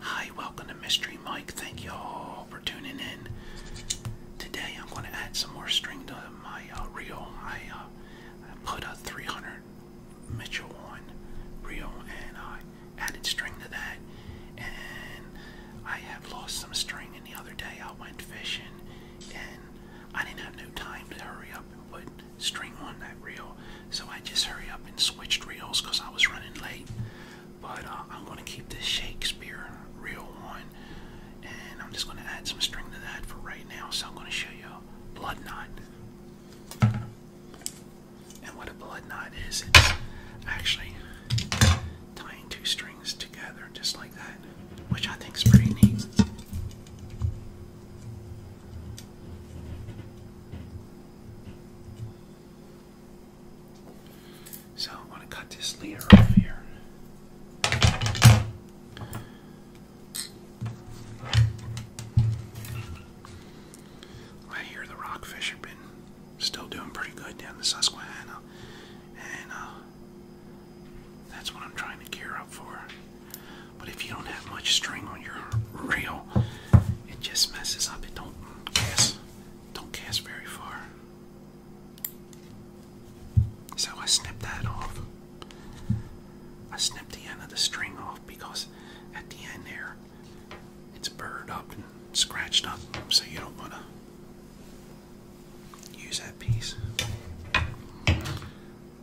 Hi, welcome to Mystery Mike. Thank you all for tuning in. Today I'm going to add some more string to my uh, reel. I, uh, I put a 300 Mitchell on reel and I added string to that. And I have lost some string. And the other day I went fishing and I didn't have no time to hurry up and put string on that reel. So I just hurry up and switched reels because I was running late. But uh, I'm going to keep this Shakespeare reel one, And I'm just going to add some string to that for right now. So I'm going to show you a blood knot. And what a blood knot is, actually tying two strings together just like that, which I think is pretty neat. So I want to cut this leader off here. I hear the rockfish have been still doing pretty good down the Susquehanna, and uh, that's what I'm trying to gear up for. But if you don't have much string on your reel, it just messes up cast, don't cast very far. So I snipped that off. I snipped the end of the string off because at the end there, it's burred up and scratched up, so you don't want to use that piece. What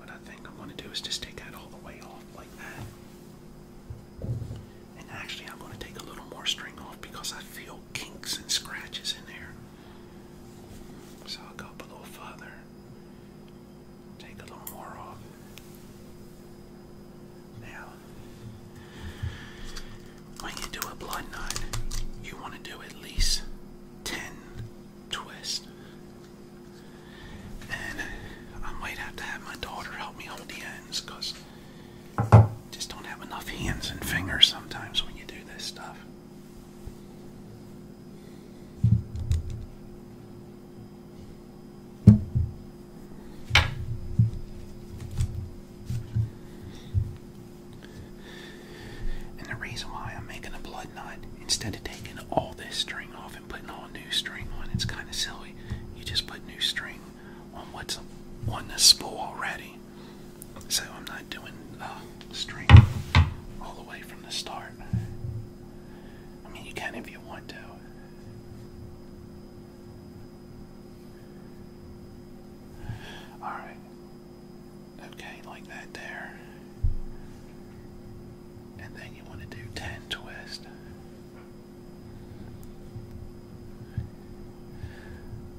I think I'm going to do is just take that all the way off like that. And actually, I'm going to take a little more string off because I feel kinks and scratches in there. So I'll go a little further, take a little more off. Now, when you do a blood knot, you want to do at least 10 twists and I might have to have my daughter help me hold the ends because just don't have enough hands and fingers sometimes when you do this stuff. And the reason why I'm making a blood knot instead of taking all this string off and putting all new string on, it's kind of silly you just put new string on what's on the spool already. So I'm not doing uh, string all the way from the start. I mean, you can if you want to. Alright. Okay, like that there. And then you want to do 10 twist.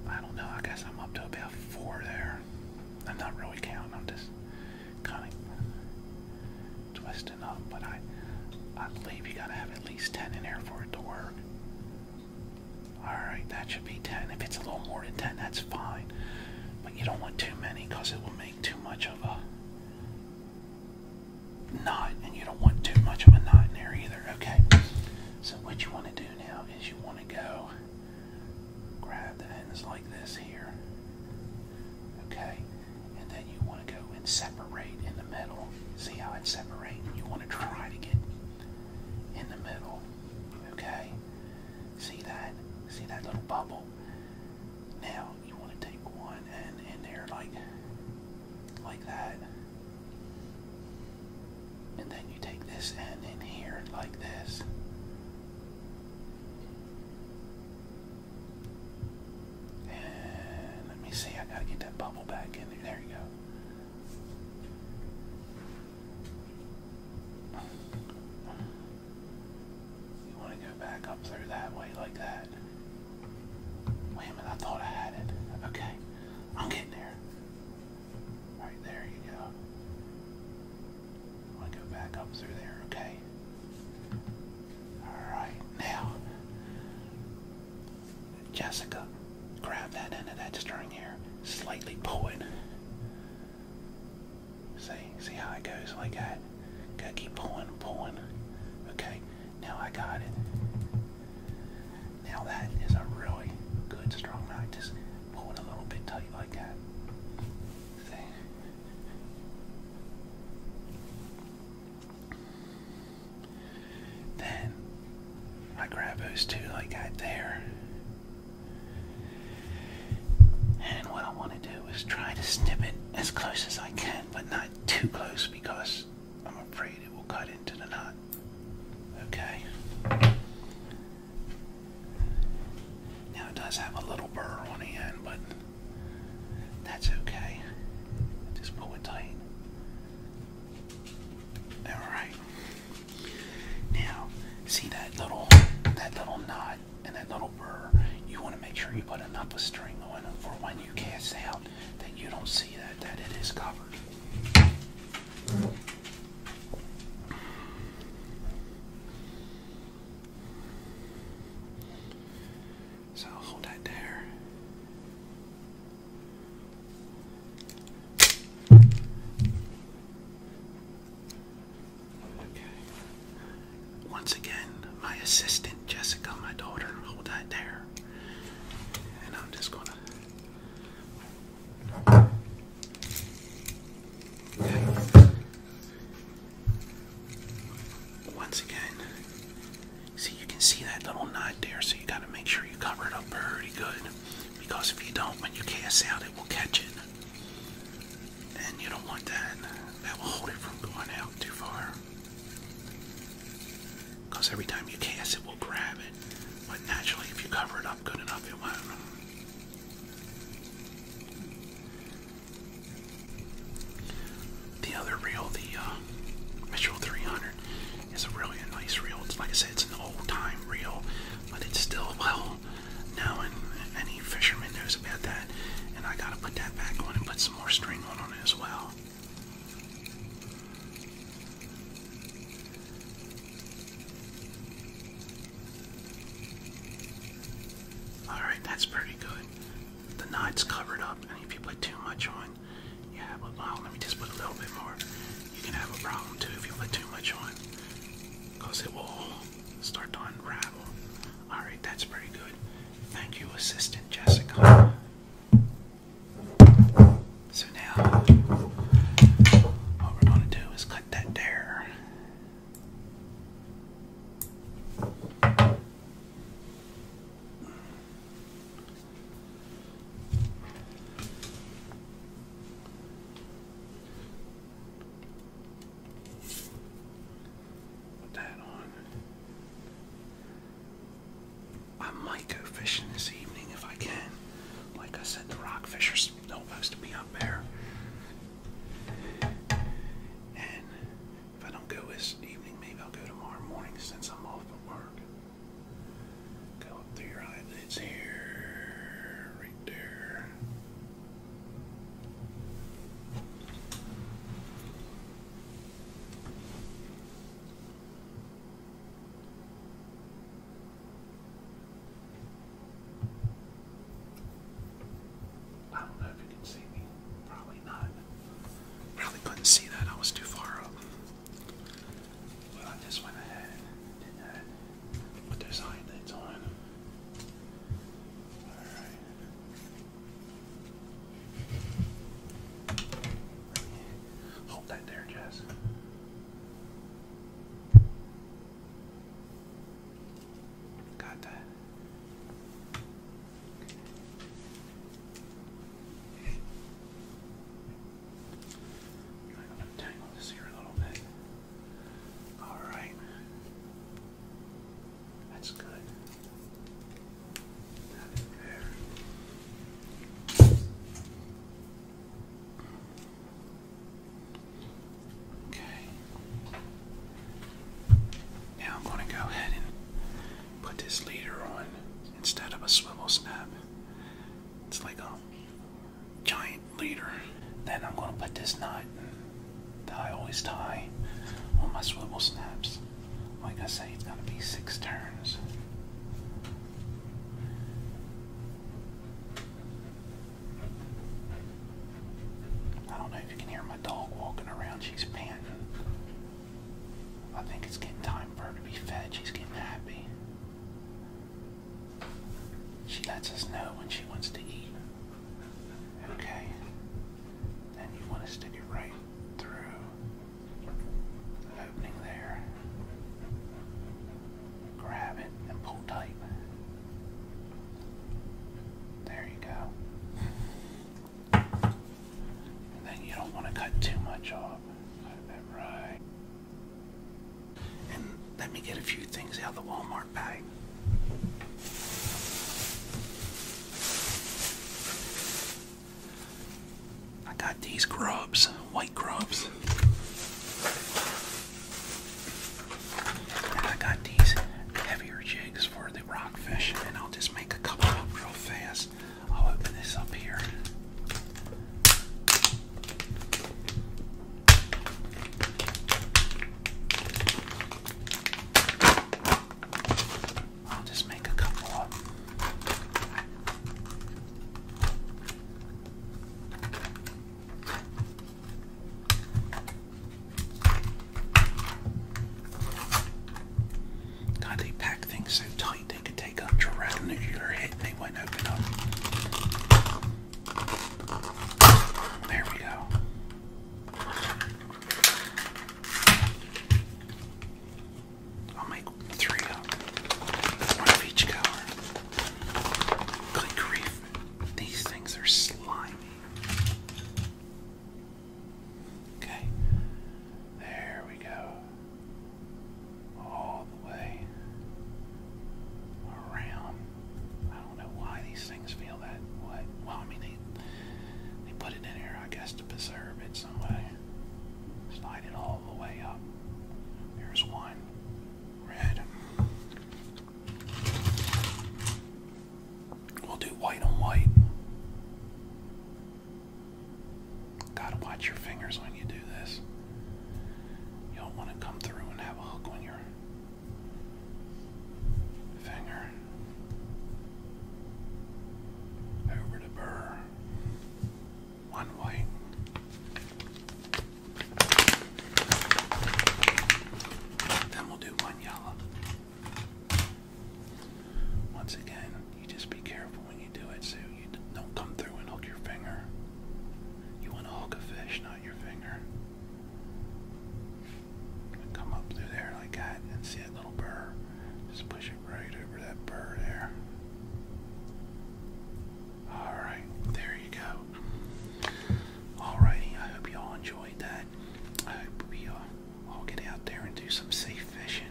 I don't know. I guess I'm up to about four there. I'm not really counting. I'm just kind of twisting up. But I, I believe you gotta have at least ten in there for it to work. All right, that should be ten. If it's a little more than ten, that's fine. But you don't want too many because it will make too much of a knot, and you don't want too much of a knot in there either. Okay, so what you want to do now is you want to go grab the ends like this here, okay, and then you want to go and separate in the middle. See how it separates? You want to try to get in the middle, okay. See that? See that little bubble? Now, um, you want to take one and in there like like that. And then you take this and in here like this. And let me see, I gotta get that bubble back in there. There you go. You want to go back up through that way like that. Wait a minute, I thought I had it. Okay, I'm getting there. Alright, there you go. i to go back up through there, okay? Alright, now, Jessica, grab that end of that string here, slightly pull it. See, see how it goes like that? Gotta keep pulling, pulling. Okay, now I got it. Now that is a really good strong knot. Just pull a little bit tight like that. Then I grab those two like that there. And what I want to do is try to snip it as close as I can, but not too close because I'm afraid it will cut into the knot. Okay. Now it does have a little burr on the end, but that's okay. Just pull it tight. Alright. Now, see that little that little knot and that little burr, you want to make sure you put enough of string on it for when you cast out that you don't see that, that it is covered. So hold that there. Okay. Once again, my assistant Jessica, my daughter, hold that there. And I'm just gonna. Okay. Once again, see you can see that little knot there, so you gotta make sure you cover it up pretty good. Because if you don't, when you cast out, it will catch it and you don't want that. That will hold it from going out too far. Because every time you cast it will grab it. But naturally if you cover it up good enough it won't. The other reel, the uh, Mitchell 300, is a really nice reel. like I said, it's an old-time reel, but it's still well known. Any fisherman knows about that, and I gotta put that back on and put more string on, it as well. Alright, that's pretty good. The knot's covered up, and if you put too much on, yeah, but well, let me just put a little bit more. You can have a problem too if you put too much on, it will start to unravel. All right, that's pretty good. Thank you, Assistant Jessica. So now, what we're going to do is cut that there. Put that on. I might go fishing this evening if I can. Like I said, the rockfish are supposed to be up there. And if I don't go this evening, maybe I'll go tomorrow morning since I'm off at work. Go up through your eyelids here, right there. I don't know if you can see me. Probably not. Probably couldn't see that. I was too far up. But I just went ahead and Put those eye on. Alright. Hold that there, Jess. Got that. I'm going to untangle this here a little bit. All right. That's good. Okay. Now I'm going to go ahead and put this leader on instead of a swivel snap. It's like a giant leader. Then I'm going to put this knot that I always tie on my swivel snaps. Like I say, it's going to be six turns. I don't know if you can hear my dog walking around. She's panting. I think it's getting time for her to be fed. She's getting happy. She lets us know when she wants to eat. Okay. Then you want to stick it right through the opening there. Grab it and pull tight. There you go. And then you don't want to cut too much off. Cut that right. And let me get a few things out of the Walmart bag time. I got these grubs, white grubs. I got these heavier jigs for the rockfish, and I'll just make a couple up real fast. I'll open this up here. I'll just make a couple more. God, they pack things so tight they could take a nuclear hit and they won't open up. There we go. I'll make three uh, of each color. Good grief. These things are slimy. Okay. There we go. All the way around. I don't know why these things feel that way. Well, I mean, they, they put it in here, I guess, to preserve it some way. Slide it all the way up. Here's one. Red. We'll do white on white. Gotta watch your fingers when you do this. You do want to come through and have a hook on your Finger over the burr. One white. Then we'll do one yellow. Once again, you just be careful when you do it so you don't come through and hook your finger. You want to hook a fish, not your finger come up through there like that and see that little burr. Just push it right over that burr there. Alright, there you go. Alrighty, I hope you all enjoyed that. I hope you uh, all get out there and do some safe fishing.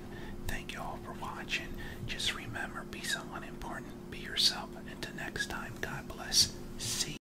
Thank you all for watching. Just remember, be someone important, be yourself. Until next time, God bless. See